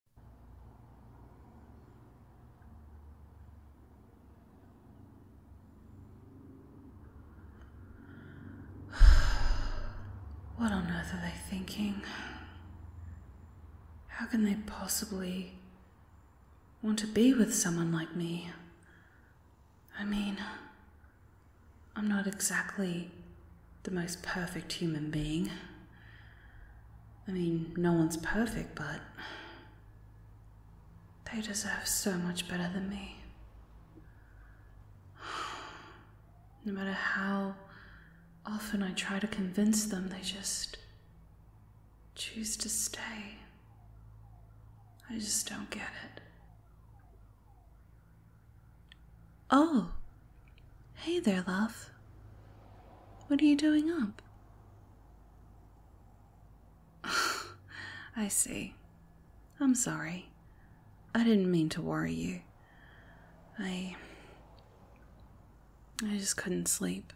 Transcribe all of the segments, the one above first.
What on earth are they thinking? How can they possibly want to be with someone like me? I mean, I'm not exactly the most perfect human being. I mean, no one's perfect, but they deserve so much better than me. No matter how often I try to convince them, they just choose to stay. I just don't get it. Oh, Hey there, love. What are you doing up? I see. I'm sorry. I didn't mean to worry you. I. I just couldn't sleep.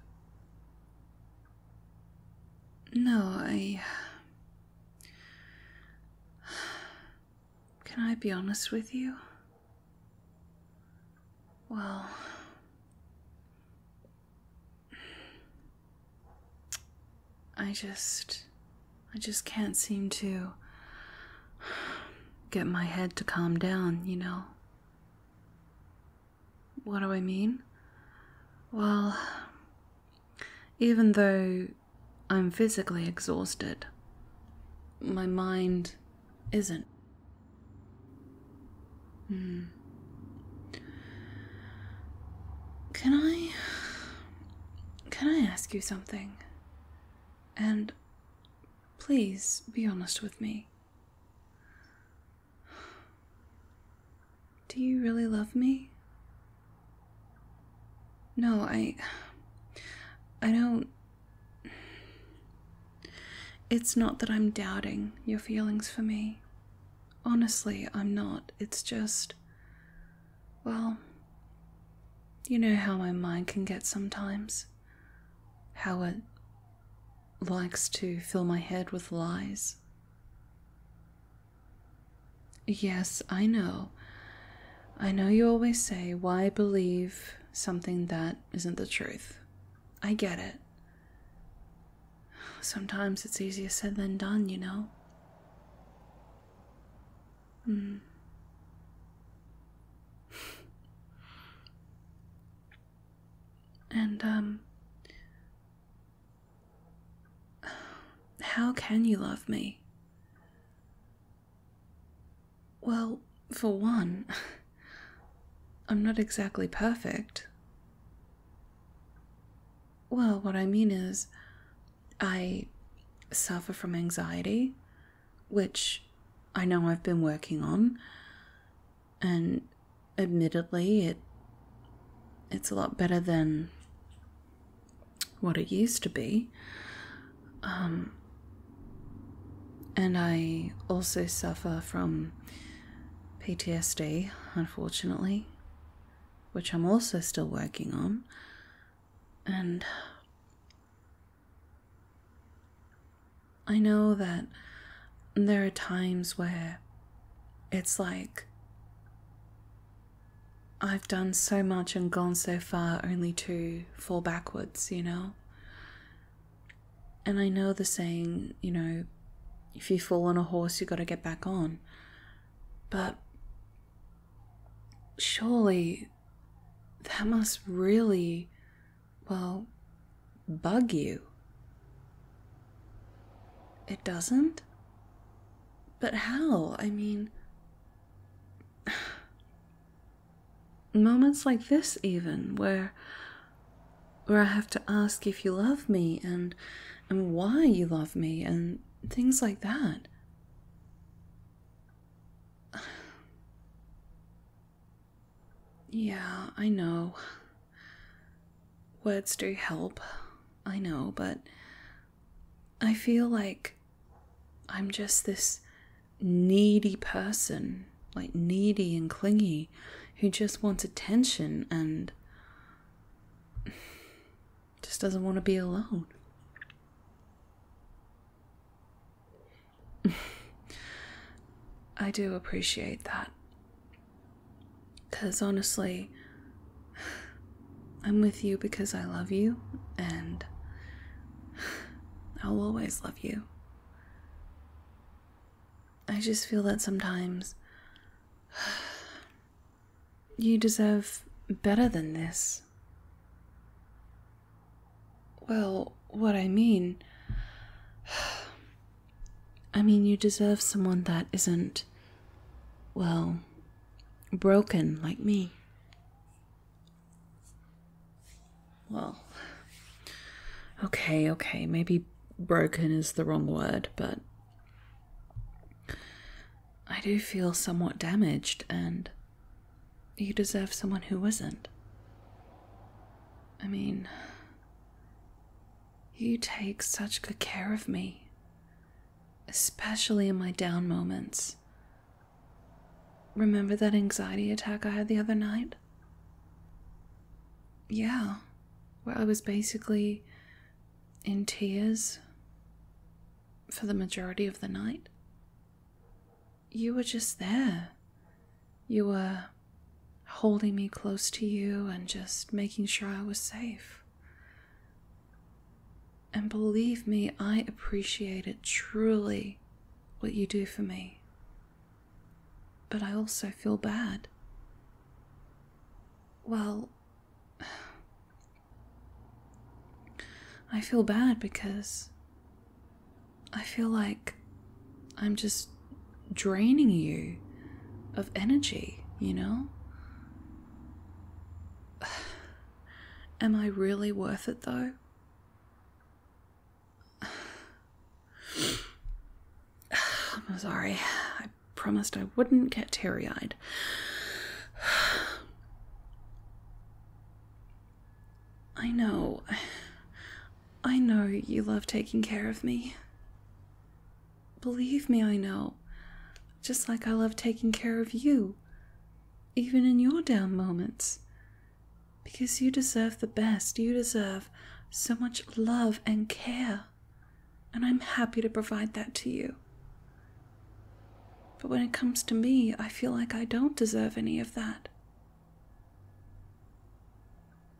No, I. Can I be honest with you? Well. I just. I just can't seem to. get my head to calm down, you know? What do I mean? Well. Even though I'm physically exhausted, my mind isn't. Hmm. Can I. Can I ask you something? And please be honest with me. Do you really love me? No, I. I don't it's not that I'm doubting your feelings for me. Honestly, I'm not. It's just. Well, you know how my mind can get sometimes. How it likes to fill my head with lies. Yes, I know. I know you always say, why believe something that isn't the truth? I get it. Sometimes it's easier said than done, you know? Mm. and, um, how can you love me? Well, for one, I'm not exactly perfect. Well, what I mean is, I suffer from anxiety, which I know I've been working on, and admittedly, it it's a lot better than what it used to be. Um, and I also suffer from PTSD, unfortunately, which I'm also still working on. And I know that there are times where it's like I've done so much and gone so far only to fall backwards, you know? And I know the saying, you know, if you fall on a horse, you got to get back on. But surely that must really, well, bug you. It doesn't? But how? I mean, Moments like this, even where where I have to ask if you love me and and why you love me and things like that. Yeah, I know. Words do help, I know, but I feel like I'm just this needy person like needy and clingy who just wants attention and just doesn't want to be alone. I do appreciate that. Because honestly, I'm with you because I love you, and I'll always love you. I just feel that sometimes you deserve better than this. Well, what I mean. I mean, you deserve someone that isn't, well, broken like me well, okay, okay, maybe broken is the wrong word, but I do feel somewhat damaged, and you deserve someone who isn't. I mean, you take such good care of me, especially in my down moments. Remember that anxiety attack I had the other night? yeah, well, I was basically in tears for the majority of the night. You were just there. You were holding me close to you and just making sure I was safe. And believe me, I appreciate it truly what you do for me but I also feel bad. Well, I feel bad because I feel like I'm just draining you of energy, you know? Am I really worth it though? I'm sorry. I promised I wouldn't get teary eyed. I know. I know you love taking care of me. Believe me, I know. Just like I love taking care of you, even in your down moments. Because you deserve the best. You deserve so much love and care. And I'm happy to provide that to you. But when it comes to me, I feel like I don't deserve any of that.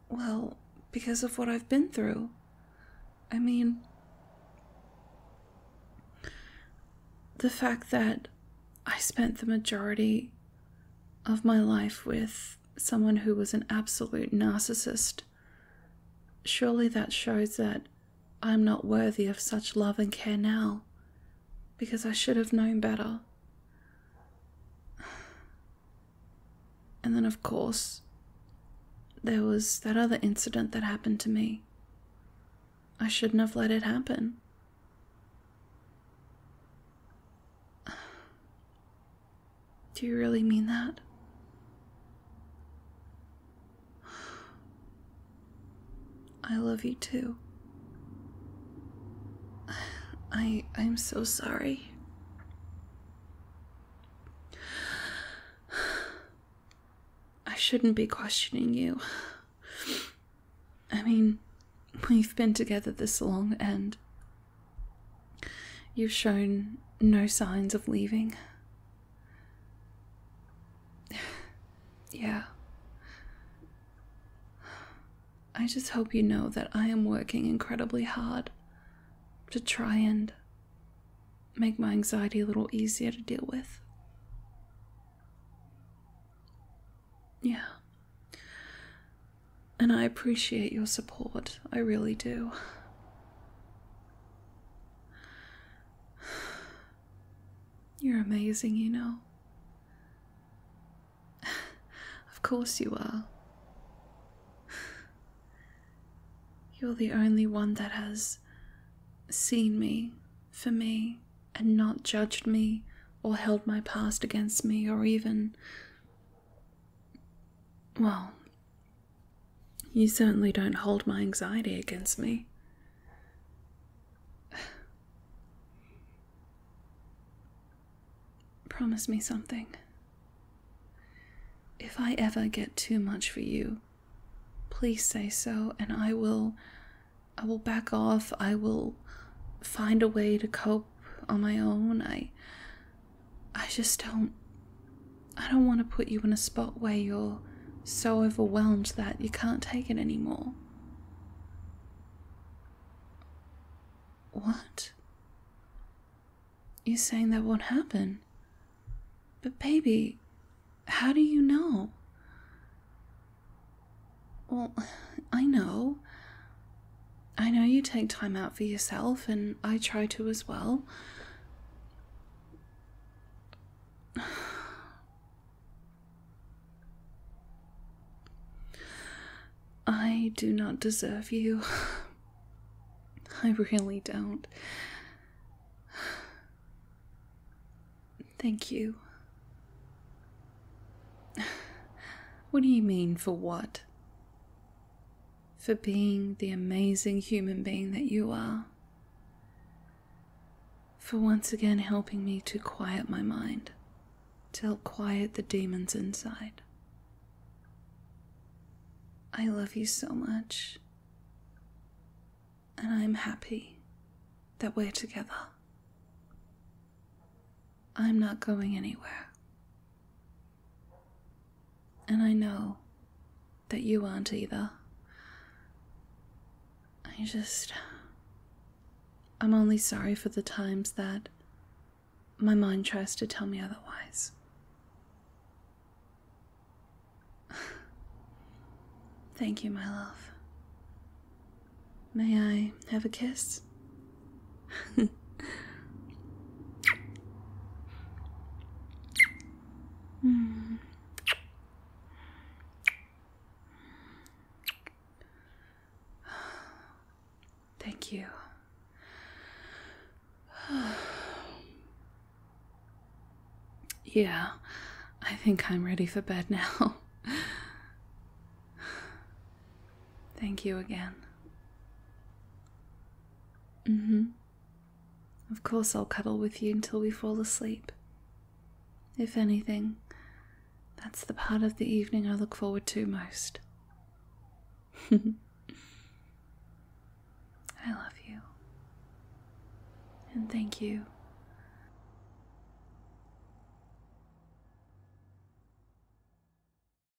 Well, because of what I've been through. I mean, the fact that I spent the majority of my life with someone who was an absolute narcissist. Surely that shows that I am not worthy of such love and care now, because I should have known better. And then, of course, there was that other incident that happened to me. I shouldn't have let it happen. Do you really mean that? I love you too. I I'm so sorry. I shouldn't be questioning you. I mean, we've been together this long and You've shown no signs of leaving. yeah. I just hope you know that I am working incredibly hard to try and make my anxiety a little easier to deal with. Yeah and I appreciate your support. I really do. You're amazing, you know. of course, you are. You're the only one that has seen me for me and not judged me or held my past against me or even well, you certainly don't hold my anxiety against me. Promise me something. If I ever get too much for you, please say so and I will I will back off. I will find a way to cope on my own. I I just don't. I don't want to put you in a spot where you're so overwhelmed that you can't take it anymore. What? You're saying that won't happen? But, baby, how do you know? Well, I know. I know you take time out for yourself, and I try to as well. I do not deserve you. I really don't. Thank you. What do you mean, for what? for being the amazing human being that you are, for once again helping me to quiet my mind, to quiet the demons inside. I love you so much, and I'm happy that we're together. I'm not going anywhere. And I know that you aren't either. I just. I'm only sorry for the times that my mind tries to tell me otherwise. Thank you, my love. May I have a kiss? Hmm. Thank you. yeah, I think I'm ready for bed now. Thank you again. Mm-hmm. Of course, I'll cuddle with you until we fall asleep. If anything, that's the part of the evening I look forward to most. I love you. And thank you.